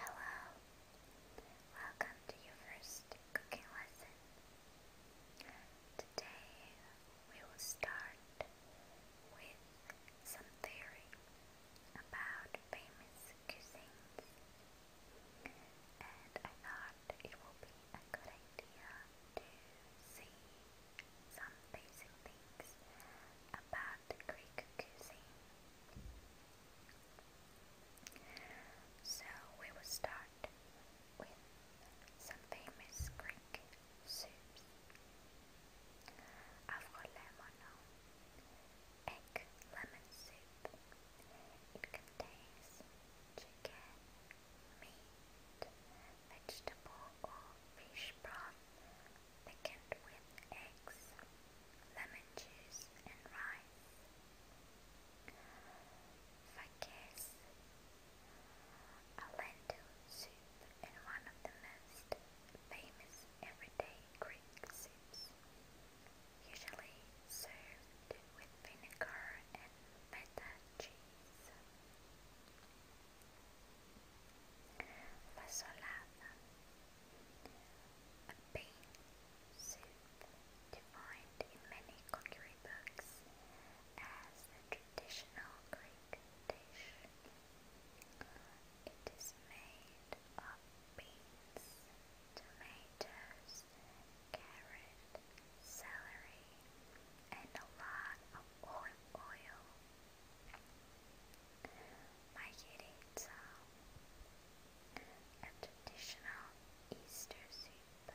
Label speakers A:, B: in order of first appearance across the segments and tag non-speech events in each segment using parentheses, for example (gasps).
A: Hello, welcome to your first cooking lesson. Today we will start with some theory about famous cuisines, and I thought it would be a good idea to see some basic things about Greek cuisine. So we will start with some famous Greek soups. Avrolemono, egg lemon soup. It contains chicken, meat, vegetable or fish broth, thickened with eggs, lemon juice, and rice. Fakes, a lentil soup, and one of the most famous everyday Greek soups, usually served with vinegar and feta cheese. Fasolada. A bean soup defined in many cookery books as a traditional Greek dish. It is made of beans, tomatoes, carrot, celery, and a lot of olive oil. Mahiritsa, um, a traditional Easter soup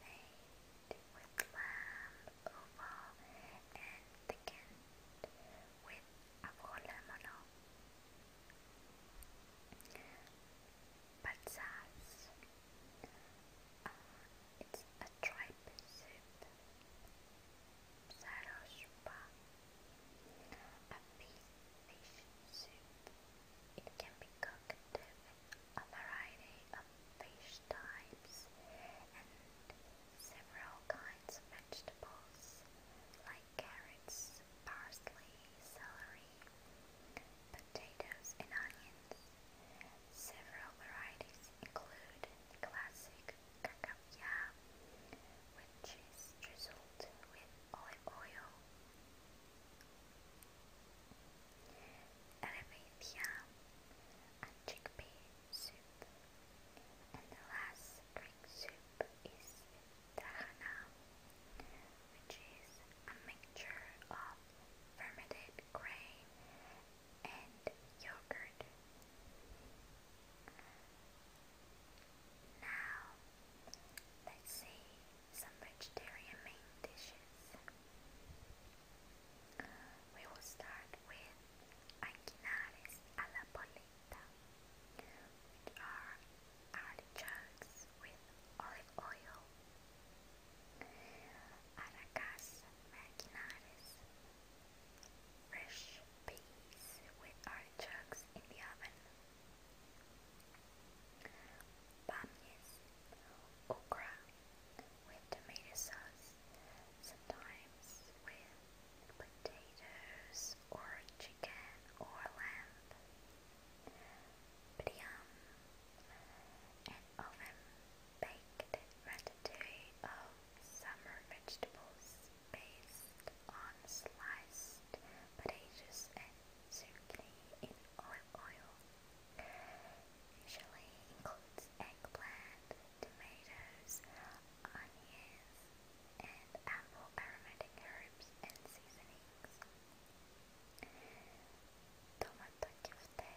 A: made with lamb, oval, and thickened with avolamono. Patsas, it's a tripe soup, sarospa, a fish soup. It can be cooked with a variety of fish types and several kinds of vegetables like carrots, parsley, celery, potatoes and onions. Several varieties include classic cacapia, which is drizzled with olive oil, Helvetia, chickpea soup, and the last Greek soup is tahana, which is a mixture of fermented grain and yogurt. Now, let's see some vegetarian main dishes. We will start with anquinares a polenta, which are artichokes with olive oil. Aracas maquinares fresh peas with artichokes in the oven. Bamyas, okra with tomato sauce, sometimes with potatoes or chicken or lamb. Priam, an oven baked ratatouille of summer vegetables based on sliced potatoes and zucchini in olive oil. Usually includes eggplant, tomatoes, onions, and ample aromatic herbs and seasonings. Tomato köfte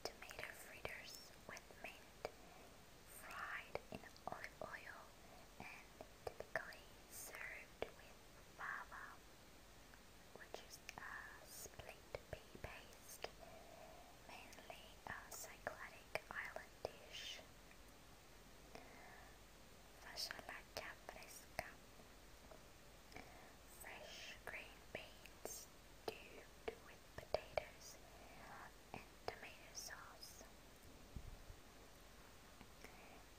A: Tomato fritters with mint, fried in olive oil, and typically served with fava, which is a split pea paste, mainly a cycladic island dish. Fasciolaccia Fresh green beans stewed with potatoes and tomato sauce.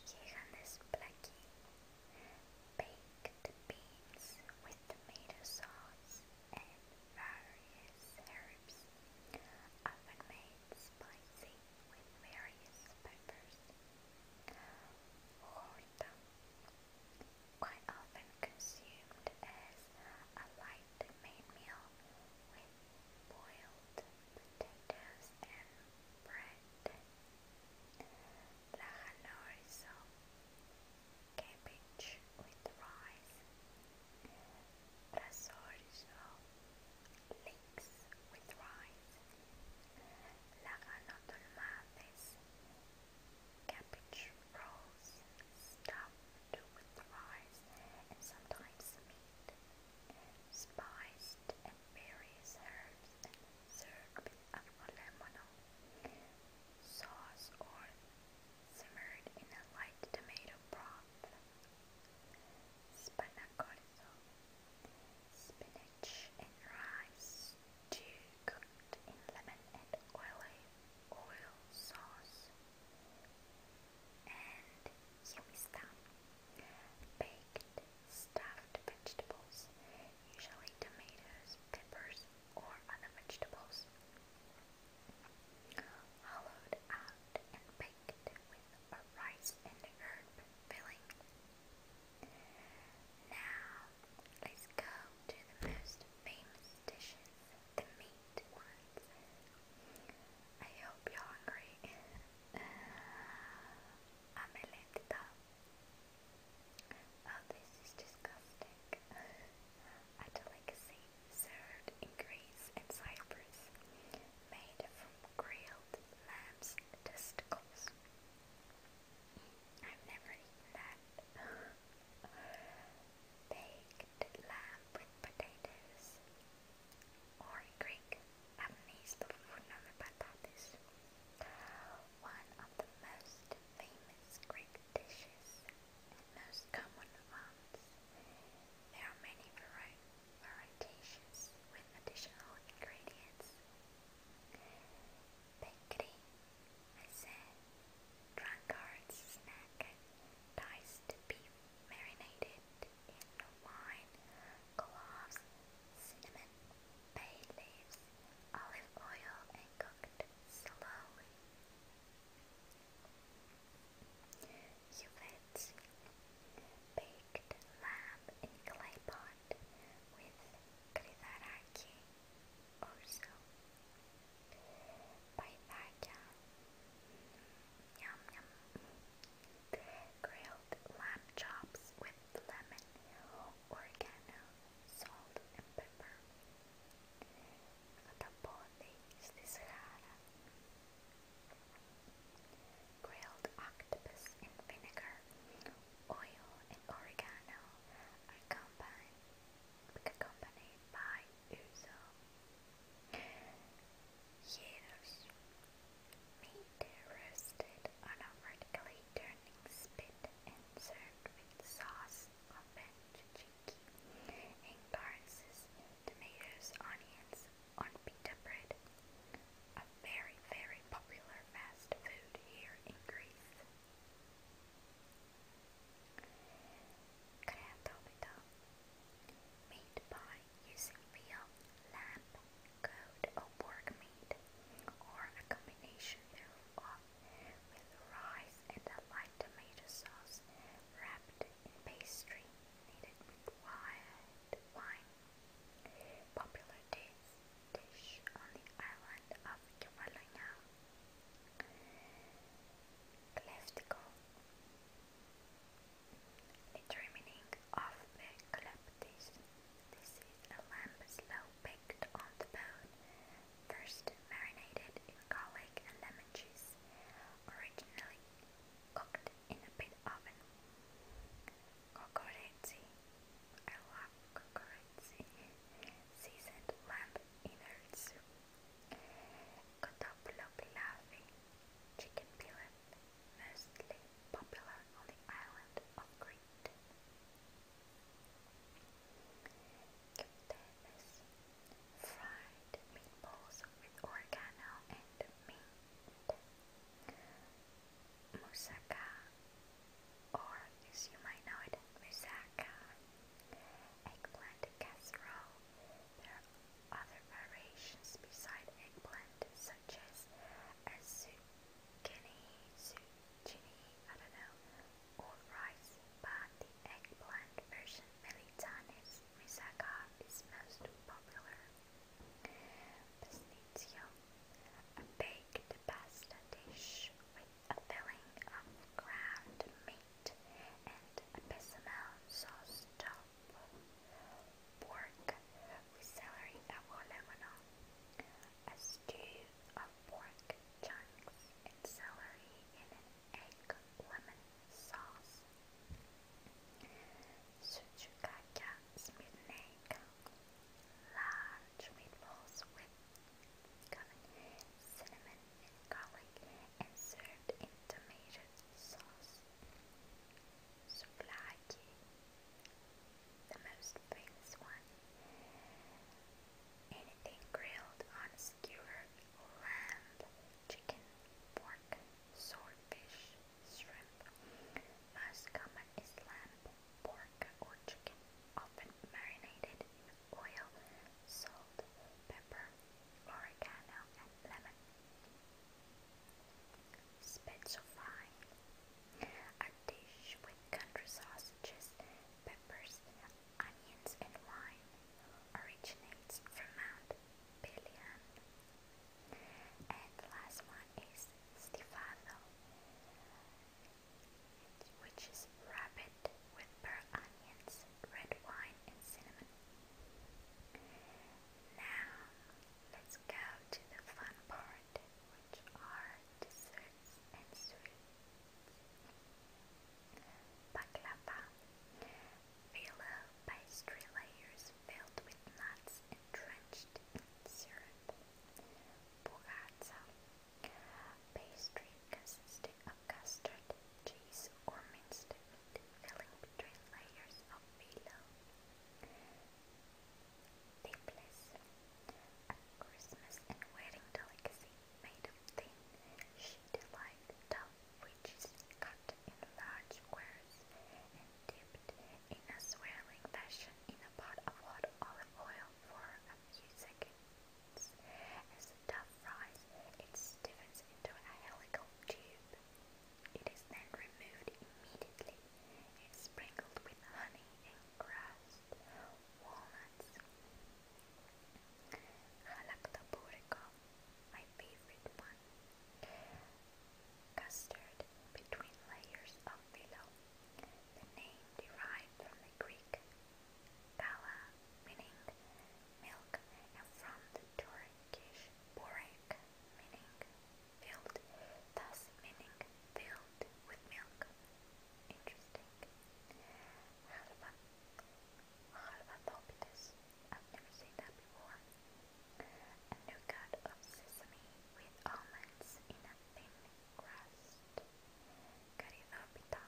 A: Gigantes blackie. Baked beans with tomato sauce and various herbs. Often made spicy with various peppers. Horta, quite often consumed as a light main meal boiled potatoes and bread. La cabbage with rice. Rasorzo, with rice. La granotte cabbage rolls stuffed with rice and sometimes meat, spiced and various herbs served with lemon sauce or simmered in a light tomato broth. Spanakorizo spinach and rice, stew cooked in lemon and oily oil sauce, and yummy stuff. Baked stuffed vegetables, usually tomatoes, peppers, or other vegetables hollowed out and baked with or rice and herb filling. Now, let's go to the most famous dishes, the meat ones. I hope you're hungry. i uh, Oh, this is disgusting. A delicacy served in Greece and Cyprus, made from grilled lamb's testicles. I've never eaten that. (gasps) Baked lamb with potatoes. Or in Greek, amnis pavounou patates. One of the most famous Greek dishes and most common ones. There are many varieties varietations with additional ingredients. Bakery, I said, drunkard's snack, diced beef marinated in wine, cloves, cinnamon, bay leaves, olive oil and cooked slowly. You biscuits, baked lamb in clay pot with kridaraki also. Paidaya, mm, yum yum. Grilled lamb chops with lemon, oregano, salt and pepper. Καταπόδι στη σειρά Grilled octopus in vinegar, oil, oregano accompanied by ouzo. Gyros, meat roasted on a spit and served with sauce of veggie and garnishes tomatoes, onions on pita bread, a very, very popular fast food here in Greece. Kreatopita, made by using veal, lamb, goat or pork meat, or a combination thereof with rice and a light tomato sauce wrapped in pastry kneaded with wire wine, popular dish on the island of Kefalonia. Cleftico, literally meaning of the cleptis. This is a lamb slow baked on the bone, first marinated in garlic and lemon juice, originally cooked in a big oven. Kokoretsi. I love kokoretsi. Seasoned lamb inner soup. Kotoplo pilavi. Chicken pilaf, mostly popular on the island of Crete. Fried meatballs with oregano and meat. Moussaka, or as you might know it, moussaka. Eggplant casserole. There are other variations beside eggplant, such as zucchini, zucchini, I don't know, or rice, but the eggplant version Melitanis Rizaga is most popular. Pasnitio, a baked pasta dish with a filling of ground meat and a bechamel sauce top pork with celery or lemon, a stew of pork chunks and celery in an egg lemon sauce, suchukaka smitten egg, large meatballs with cinnamon and garlic, and served in tomato sauce. Souvlaki, the most famous one. Anything grilled on a skewer, lamb, chicken, pork, swordfish, shrimp. Most common is lamb, pork, or chicken, often marinated in oil, salt, pepper, oregano, and lemon. Spezzofine, a dish with country sausages, peppers, onions, and wine, originates from Mount billion. And last one is Stifado, which is rabbit with onions, red wine, and cinnamon. Now, let's go to the fun part, which are desserts and sweets. Baklava. Villa pastry layers filled with nuts and drenched in syrup. Bugatza. Pastry consisting of custard, cheese or minced meat filling between layers of pillow. Tipples. A Christmas and wedding delicacy made of thin, sheet-like dough which is cut in large squares and dipped in a swirling fashion in a pot of hot olive oil for a few seconds. As the dough fries, it stiffens into a helical tube. It is then removed immediately and sprinkled with honey and crushed walnuts. Galactoburrico my favorite one. Custard between layers of pillow. The name derived from the Greek kala, meaning milk, and from the Turkish borek, meaning filled, thus meaning filled with milk. Interesting. Harvatopithecus. I've never seen that before. A new god of sesame with almonds in a thin crust. Caridopita.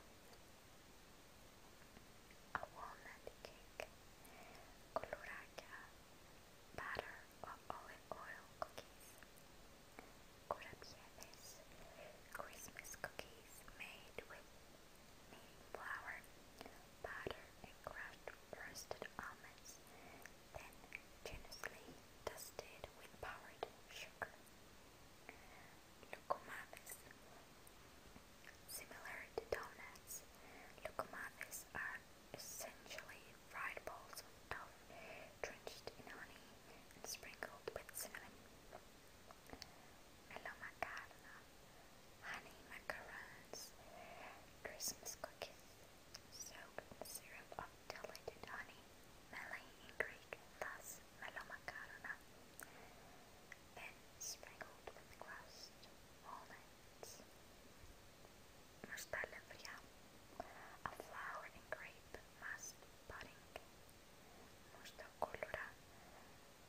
A: A walnut cake. Coloraca. Batter of olive oil cookies. Curapiedes. Christmas cookies made with made flour, butter, and crushed roasted almonds, then generously dusted with powdered sugar. Lucumadas. Similar to donuts, lucumadas are essentially fried balls of dough drenched in honey and sprinkled with cinnamon. Hello honey macarons, Christmas cookies, soaked in syrup of diluted honey, melee in Greek, thus mellow macarona, then sprinkled with crust, walnuts, mustard a flower in grape, must pudding, Mustacolora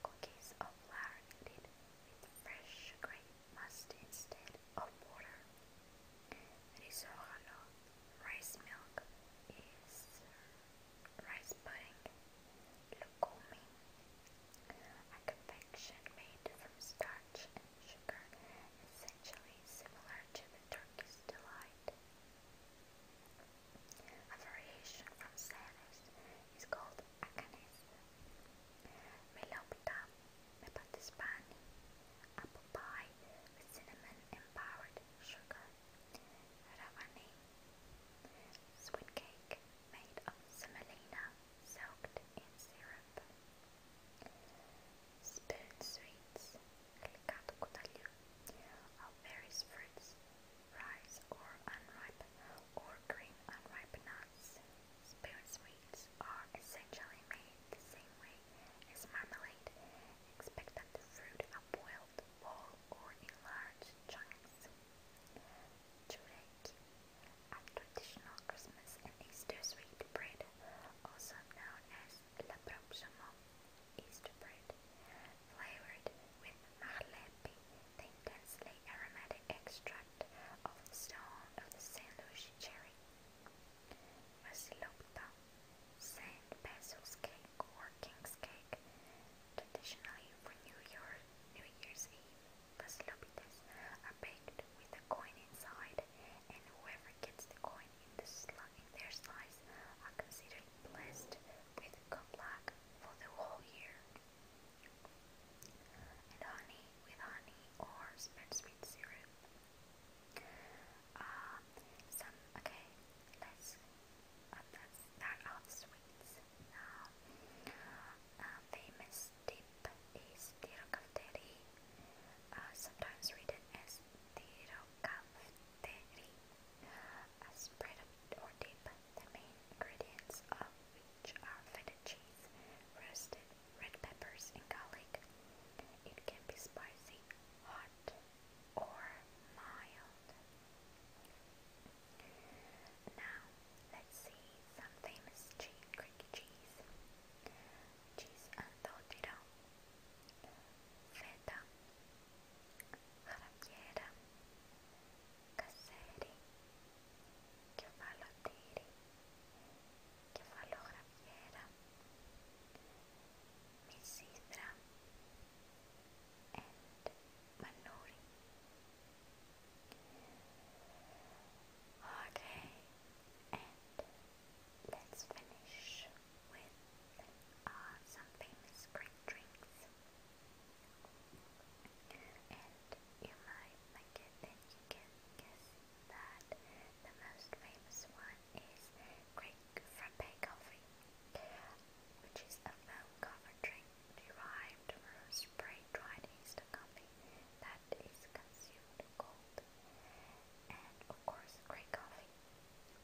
A: cookies are marinated with fresh grape must instead of water. Risotto rice milk is rice pudding. Lukumi, a confection made from starch and sugar, essentially similar to the Turkish delight. A variation from Ceres is called Acanes. Melopita mepatispani, apple pie with cinnamon and powdered sugar. Ravani, sweet cake made of semolina soaked in syrup. Spoon sweets delicato cotaglia of various fruits, rice or unripe or green unripe nuts. Spirit sweets are essentially made the same way as marmalade, except that the fruit are boiled whole or in large chunks. Chureki, a traditional Christmas and Easter sweet bread, also known as La Proximo Easter bread, flavored with mahlepi, the intensely aromatic extract of the stone of the Saint Lucia cherry. Vasilopta, Saint Basil's cake or King's cake, traditionally for New Year, New Year's Eve, Vasilopitas are baked with a coin inside, and whoever gets the coin wine in, the sli their slice are considered blessed with good luck for the whole year. And honey with honey or sweet syrup. Uh, some okay, let's uh, let's sweets now. Uh, famous dip is tirocafteri, uh, sometimes written as tirocafteri, a or dip, the main ingredients of which are feta cheese, roasted red peppers and garlic. It can be spicy, hot or mild. Now let's see some famous cheese, Greek cheese. Cheese and feta, Rabbiera, Casseri, Κεφάλο Τύρι, Κεφάλο Γραβιέρα, Misithra, and Manuri. Okay, and let's finish with uh, some famous great drinks. And you might like it that you that the most famous one is Greek Frappe Coffee, which is a foam-covered drink derived from spray-dried instant coffee that is consumed cold of course, grey coffee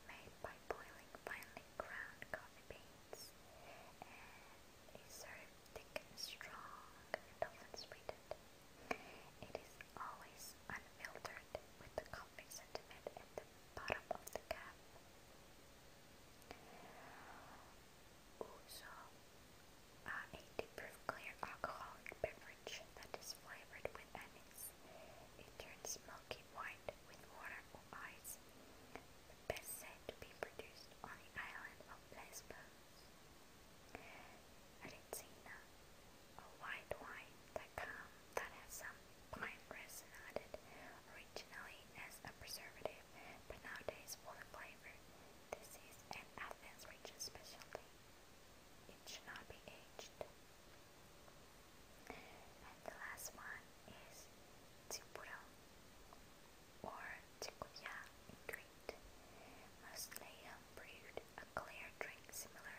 A: made by boiling finely ground coffee beans and is served thick and strong and often sweetened. It is always unfiltered with the coffee sentiment at the bottom of the cup. Uso, a 80 proof clear alcoholic beverage that is flavored with anise, it turns milky white with water or ice. The best said to be produced on the island of Lesbos. Rizzina, a white wine that, come, that has some pine resin added, originally as a preservative, but nowadays for flavor. This is an Athens region specialty. It should not be aged. And the last one is Tsipura or Tsikuya in Crete. Mostly um, brewed a clear drink similar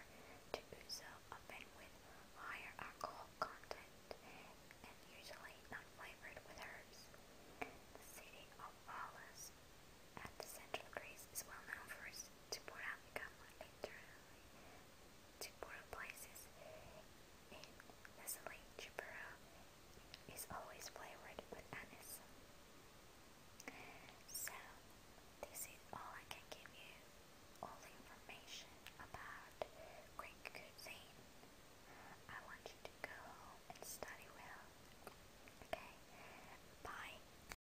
A: to ouzo, often with higher alcohol content and usually not flavored with herbs. The city of Aulis at the central Greece is well known for its Tipura become literally Tipura places in Nestle Chipura is always flavored with anise. So this is all I can give you, all the information about Greek cuisine. I want you to go and study well. Okay? Bye.